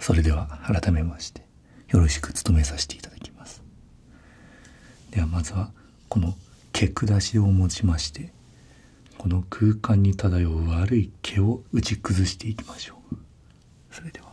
それでは改めましてよろしく務めさせていただきますではまずはこの毛下しを用ちましてこの空間に漂う悪い毛を打ち崩していきましょうそれでは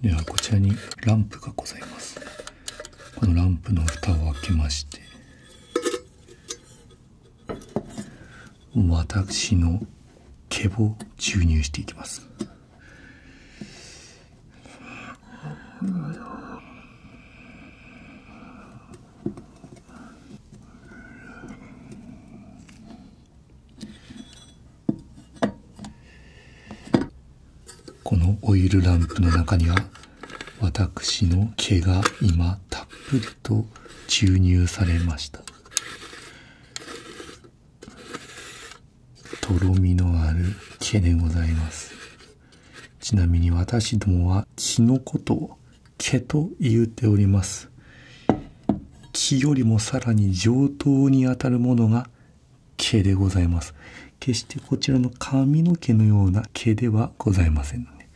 ではこちらにランプがございますこのランプの蓋を開けまして私の毛を注入していきますこのオイルランプの中には私の毛が今たっぷりと注入されましたとろみのある毛でございますちなみに私どもは血のことを毛と言うております木よりもさらに上等にあたるものが毛でございます決してこちらの髪の毛のような毛ではございませんので、ね、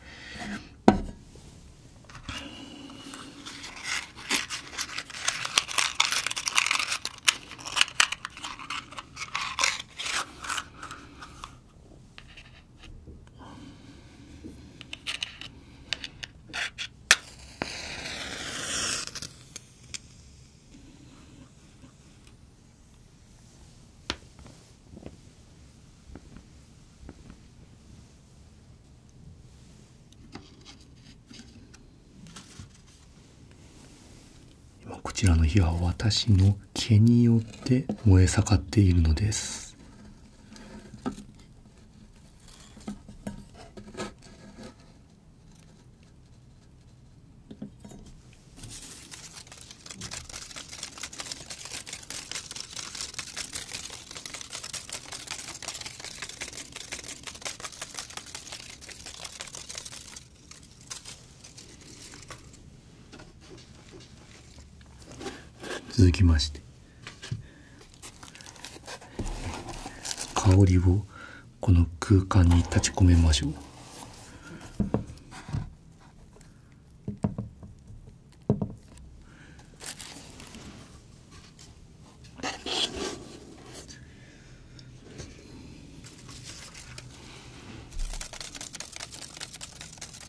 今こちらの日は私の毛によって燃え盛っているのです続きまして香りをこの空間に立ち込めましょう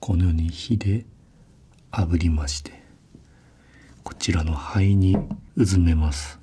このように火であぶりましてこちらの肺にうずめます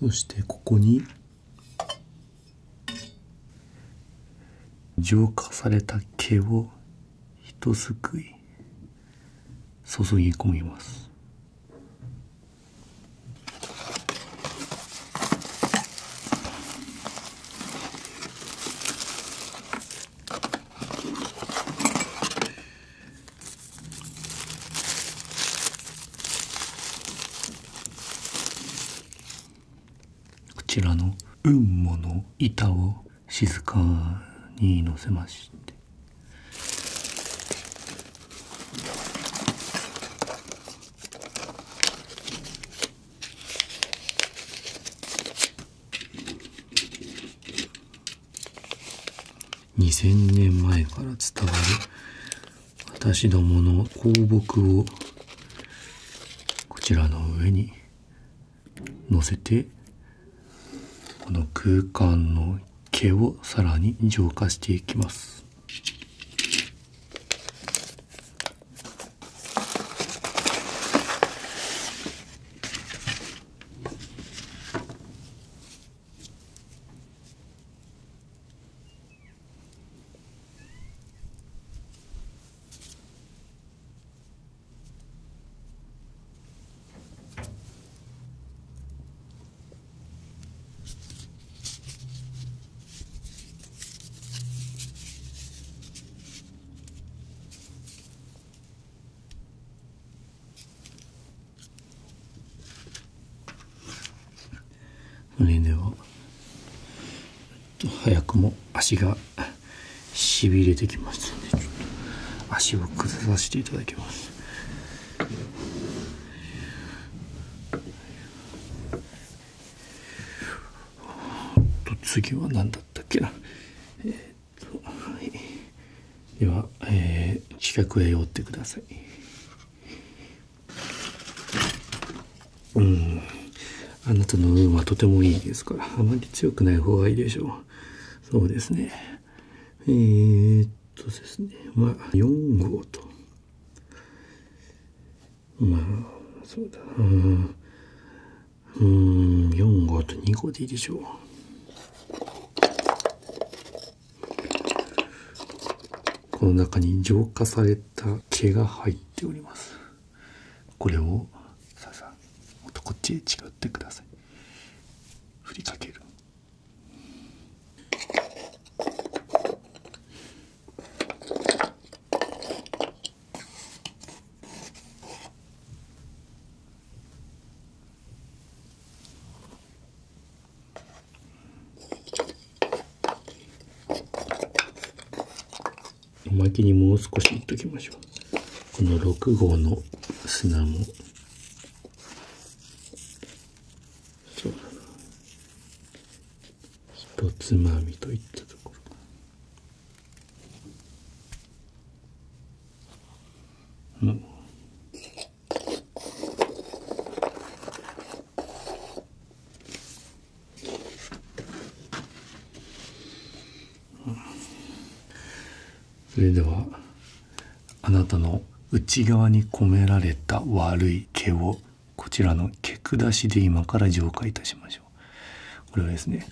そしてここに浄化された毛をひとすくい注ぎ込みますこちらの運母の板を静かにのせまして2000年前から伝わる私どもの香木をこちらの上に乗せてこの空間の毛をさらに浄化していきます胸でを早くも足がしびれてきますのでちょっと足を崩させていただきます次は何だったっけなえっと、はい、では、ええ、近くへ寄ってくださいうんあなたの運はとてもいいですからあまり強くない方がいいでしょうそうですねえっとですねまあ4号とまあそうだうん4号と2号でいいでしょうこの中に浄化された毛が入っておりますこれをさあさもっとこっちへ近寄ってくださいふりかけるおまけにもう少しいときましょう。この6号の砂も、そうだな。ひとつまみといったところ。うん。それではあなたの内側に込められた悪い毛をこちらの毛下しで今から浄化いたしましょうこれはですね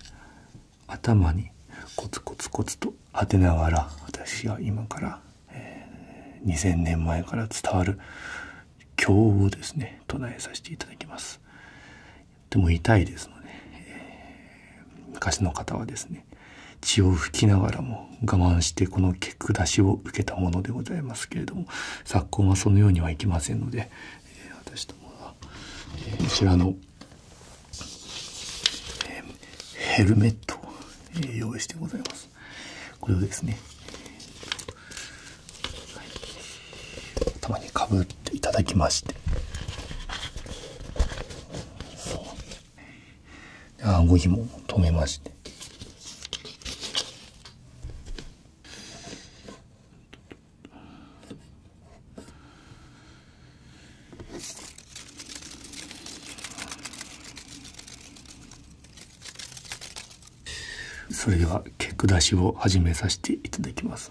頭にコツコツコツと当てながら私が今から、え2,000年前から伝わる経をですね唱えさせていただきます。とも痛いですので、え昔の方はですね血を拭きながらも我慢してこの結句出しを受けたものでございますけれども昨今はそのようにはいきませんので、え私どもは、えー、こちらの、えヘルメットを、え用意してございます。これをですね、たまにかぶっていただきましてそうあごひも止めましてそれでは結句出しを始めさせていただきます、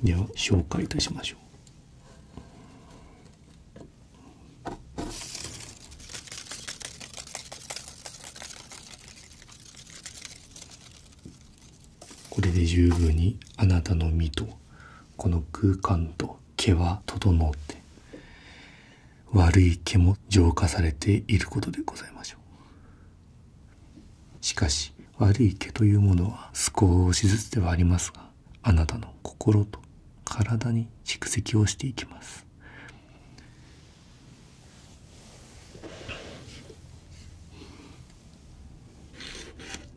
では紹介いたしましょうこれで十分にあなたの身とこの空間と毛は整って悪い毛も浄化されていることでございましょうしかし悪い毛というものは少しずつではありますがあなたの心と体に蓄積をしていきます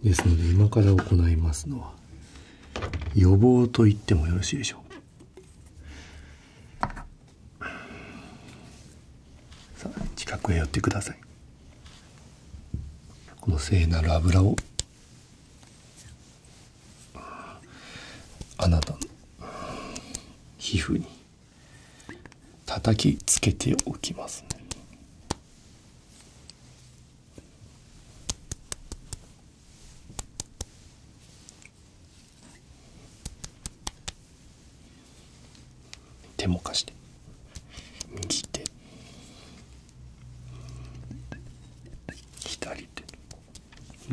ですので今から行いますのは予防と言ってもよろしいでしょうさあ近くへ寄ってくださいこの聖なる油をあなたの皮膚に叩きつけておきますね手も貸して右手左手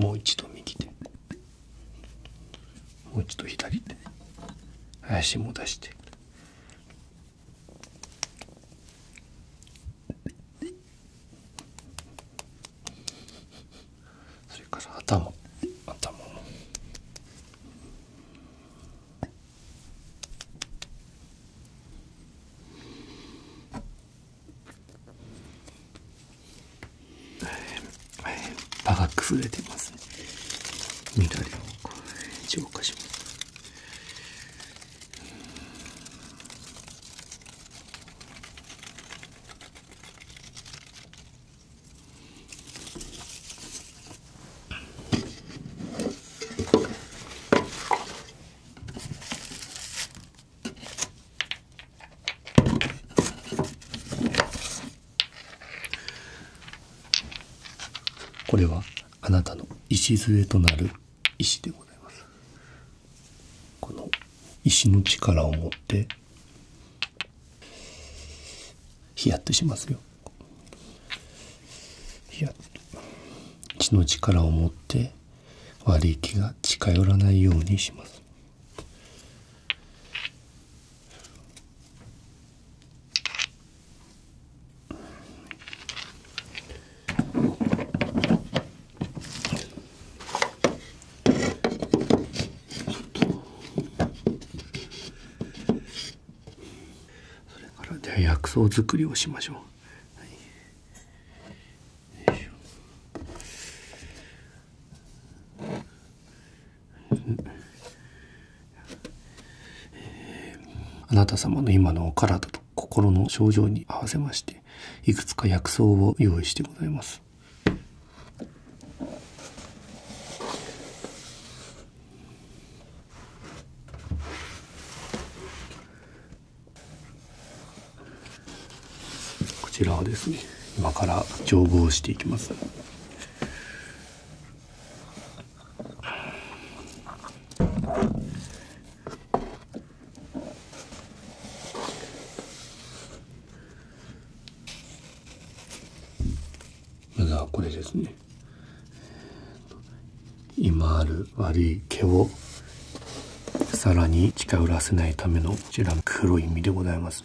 もう一度右手もう一度左手林も出してそれから頭頭も。場が崩れてますね緑を浄化しますこれはあなたの礎となる石でございますこの石の力を持ってヒヤッとしますよヒヤッと石の力を持って割り気が近寄らないようにしますそれからで薬草作りをしましょう。はい、あなた様の今のお体と心の症状に合わせましていくつか薬草を用意してございますこちらはですね今から調合していきますまずはこれですね今ある悪い毛をさらに近寄らせないためのこちらの黒い実でございます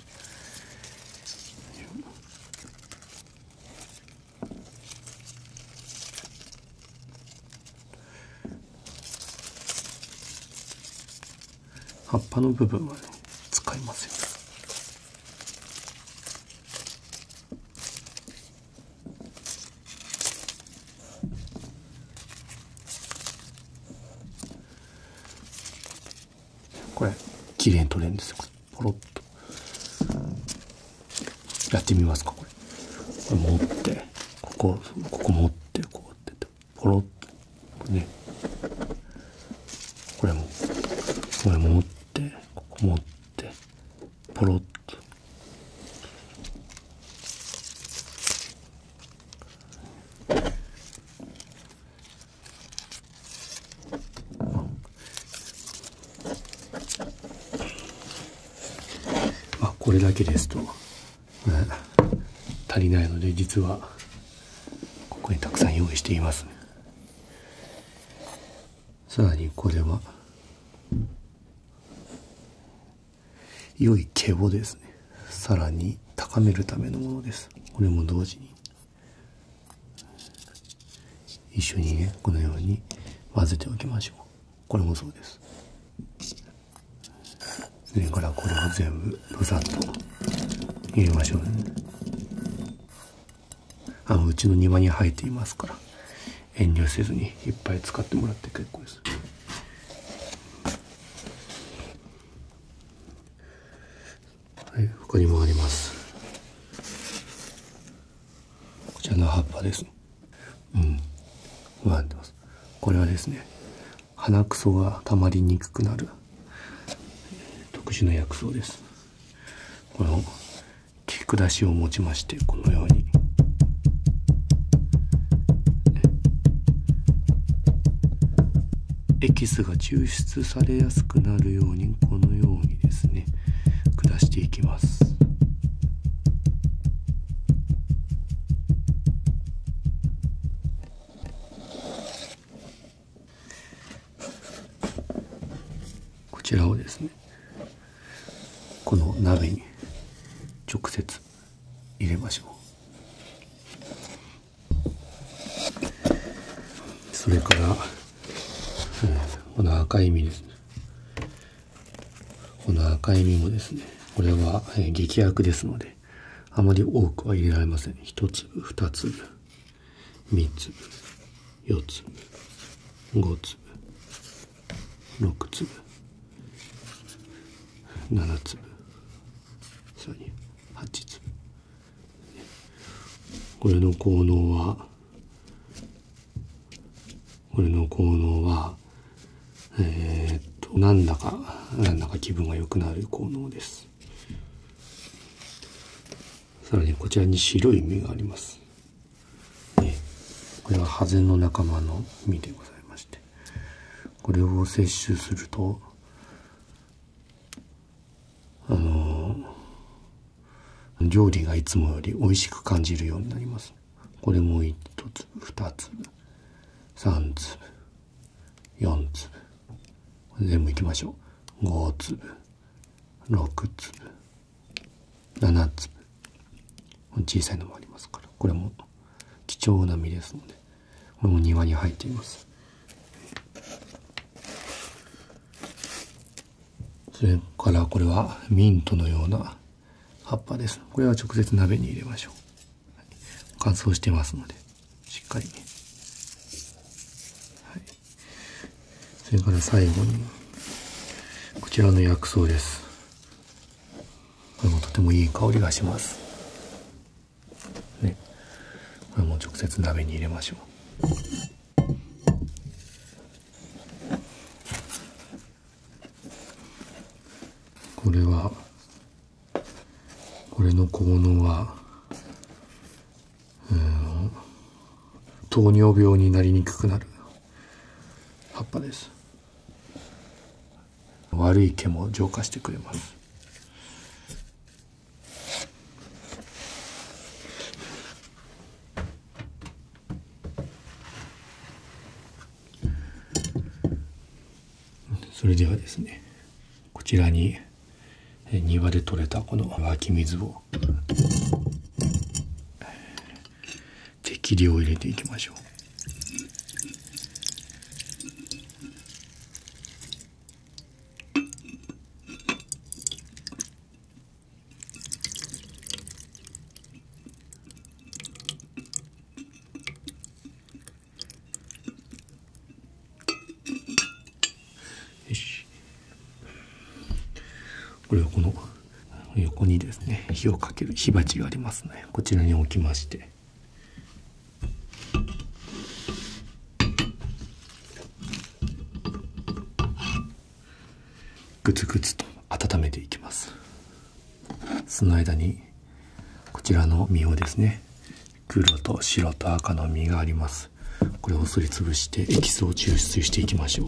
葉っぱの部分はね使いますよこれ、綺麗に取れるんですよ。ポロッと。やってみますか、これ。これ持って、ここ、ここ持って、こうって、ポロッと。ね。これも、これ持って、ここ持って、ポロッとあこれだけですと、足りないので実はここにたくさん用意していますさらにこれは良い毛をですねさらに高めるためのものですこれも同時に一緒にねこのように混ぜておきましょうこれもそうですそれからこれも全部ブサッと入れましょうねあのうちの庭に生えていますから遠慮せずにいっぱい使ってもらって結構です。はい、他にもあります。こちらの葉っぱです。これはですね、鼻くそがたまりにくくなる特殊な薬草です。切り下しを持ちましてこのように。エキスが抽出されやすくなるようにこのようにですね下していきますこちらをですねこの鍋に直接入れましょうそれから、この赤い実ですねこの赤い実もですねこれは、えー、劇薬ですのであまり多くは入れられません1つ、2つ、3つ。4粒5粒6粒7粒さらに8粒これの効能はこれの効能はえっとなんだかなんだか気分が良くなる効能ですさらにこちらに白い実がありますこれはハゼの仲間の実でございましてこれを摂取するとあの料理がいつもより美味しく感じるようになりますこれも1粒2粒3粒4粒全部いきましょう5粒6粒7粒小さいのもありますからこれも貴重な実ですのでこれも庭に入っていますそれからこれはミントのような葉っぱですこれは直接鍋に入れましょう乾燥してますのでしっかりね、はい、それから最後に、こちらの薬草です。これもとてもいい香りがします。ね。これも直接鍋に入れましょう。これはこれの効能は、うん、糖尿病になりにくくなる葉っぱです悪い毛も浄化してくれますそれではですねこちらに庭で採れたこの湧き水を適量入れていきましょう。よしこれはこの横にですね火をかける火鉢がありますねこちらに置きましてグツグツと温めていきますその間にこちらの実をですね黒と白と赤の実がありますこれをすりつぶしてエキスを抽出していきましょう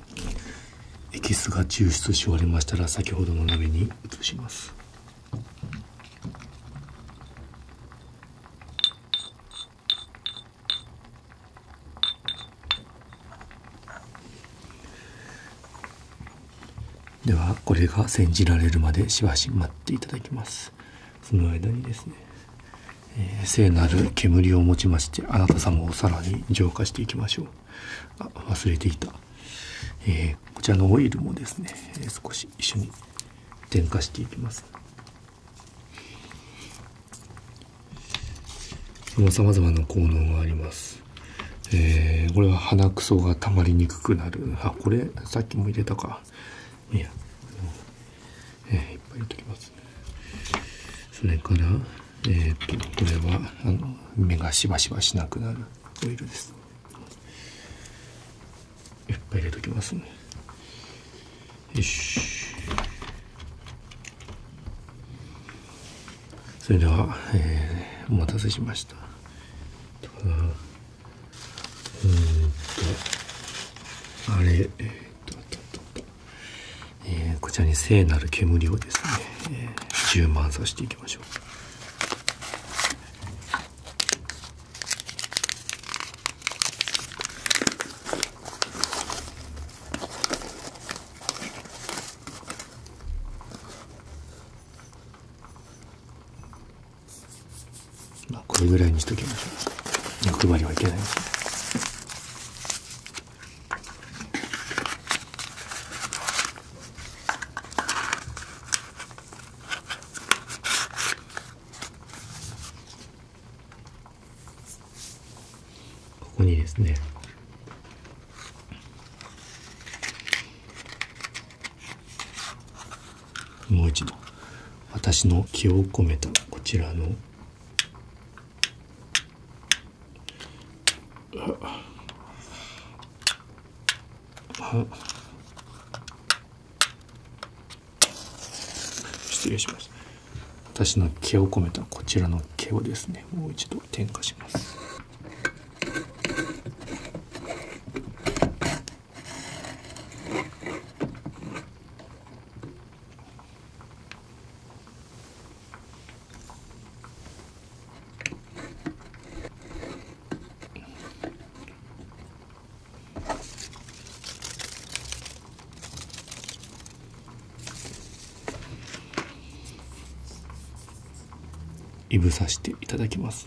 エキスが抽出し終わりましたら先ほどの鍋に移しますではこれが煎じられるまでしばし待っていただきますその間にですねえ聖なる煙を持ちましてあなた様をさらに浄化していきましょうあ忘れていた、えこちらのオイルもですね、え少し一緒に添加していきますさまざまな効能があります、これは鼻くそがたまりにくくなるあこれさっきも入れたかいやえー、いっぱい入れときますそれからえっ、とこれはあの目がしばしばしなくなるオイルですいっぱい入れときますねよしそれでは、えー、お待たせしましたうんとあれえっとあったあったえこちらに聖なる煙をですね、えー、充満させていきましょう。まあ、これぐらいにしときましょう。欲張りはいけないすね。ここにですねもう一度私の気を込めたこちらの失礼します私の毛を込めたこちらの毛をですねもう一度点火しますいぶさせていただきます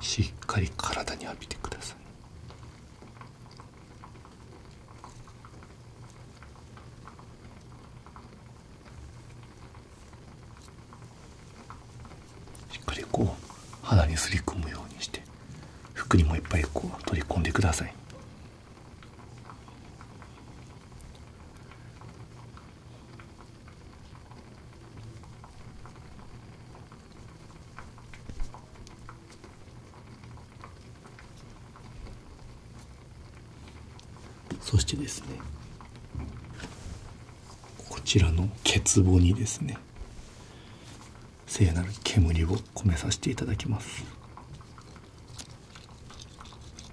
しっかり体に浴びてくださいしっかりこう肌にすり込むようにして服にもいっぱいこう取り込んでくださいそしてですねこちらのケツにですね聖なる煙を込めさせていただきます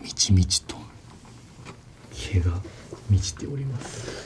みちみちと毛が満ちております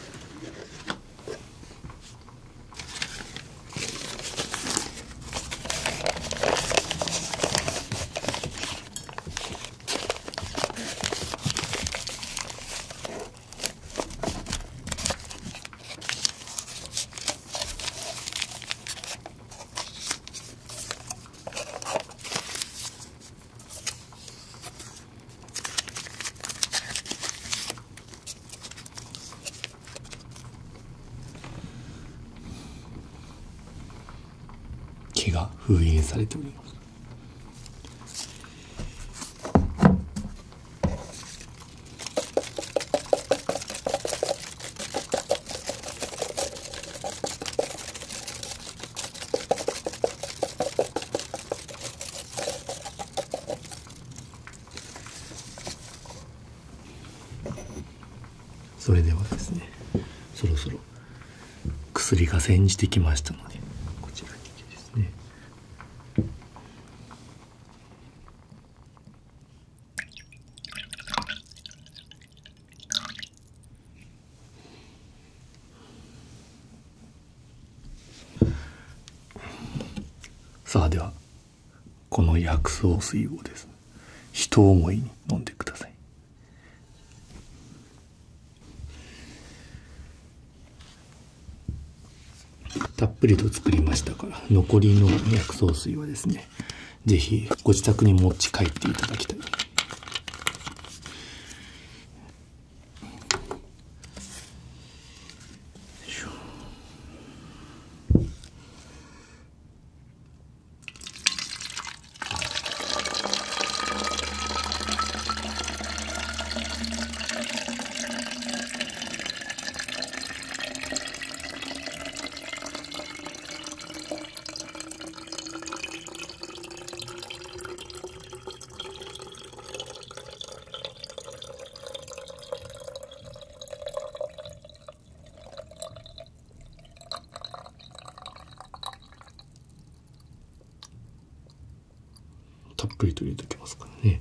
毛が封印されておりますそれではですねそろそろ薬が煎じてきましたのでこちらにきですねさあではこの薬草水をですねひと思いに飲んでくださいたっぷりと作りましたから残りの薬草水はですねぜひご自宅に持ち帰っていただきたい。たっぷりと入れておきますからね。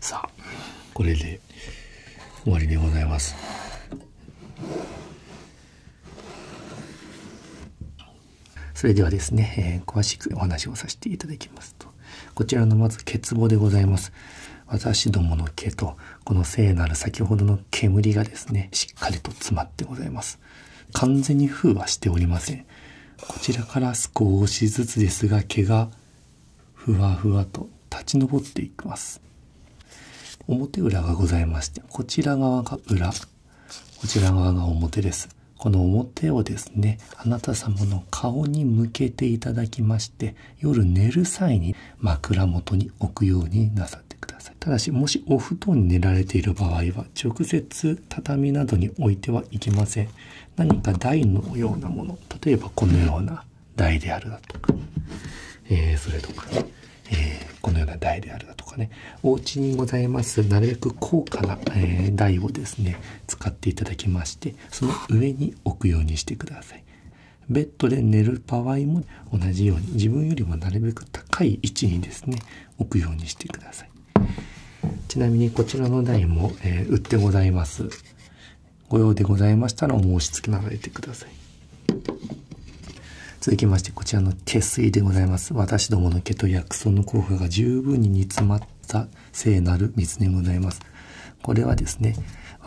さあこれで終わりでございますそれではですね、え詳しくお話をさせていただきますとこちらのまず欠乏でございます私どもの毛とこの聖なる先ほどの煙がですねしっかりと詰まってございます完全に封はしておりませんこちらから少しずつですが毛がふわふわと立ち上っていきます表裏がございましてこちら側が裏こちら側が表ですこの表をですねあなた様の顔に向けていただきまして夜寝る際に枕元に置くようになさくださいただしもしお布団に寝られている場合は直接畳などに置いてはいけません何か台のようなもの例えばこのような台であるだとか、えそれとか、えこのような台であるだとかねお家にございますなるべく高価な、え台をですね使っていただきましてその上に置くようにしてくださいベッドで寝る場合も同じように自分よりもなるべく高い位置にですね置くようにしてください。ちなみにこちらの台も、え売ってございます。ご用でございましたらお申し付けなされてください。続きましてこちらの手すりでございます。私どもの毛と薬草の効果が十分に煮詰まった聖なる水でございます。これはですね、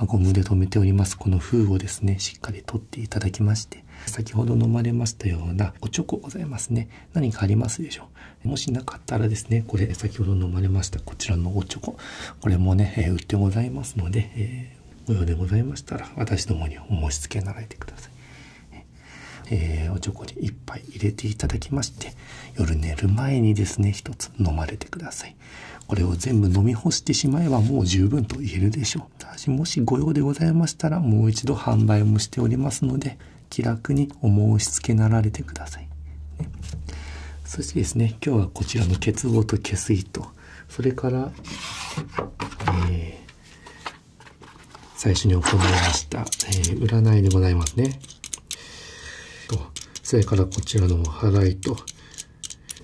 ゴムで留めておりますこの封をですね、しっかり取っていただきまして、先ほど飲まれましたようなおチョコございますね何かありますでしょうもしなかったらですねこれ先ほど飲まれましたこちらのおチョコこれもね、え売ってございますので、えー、ご用でございましたら私どもにお申し付けなられてくださいえー、おちょこに1杯入れていただきまして夜寝る前にですね1つ飲まれてくださいこれを全部飲み干してしまえばもう十分と言えるでしょうもしご用でございましたらもう一度販売もしておりますので気楽にお申し付けなられてください、そしてですね今日はこちらの結合と血水とそれから、え最初に行いました、え占いでございますねとそれからこちらのお払いと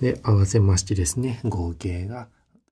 で合わせましてですね合計が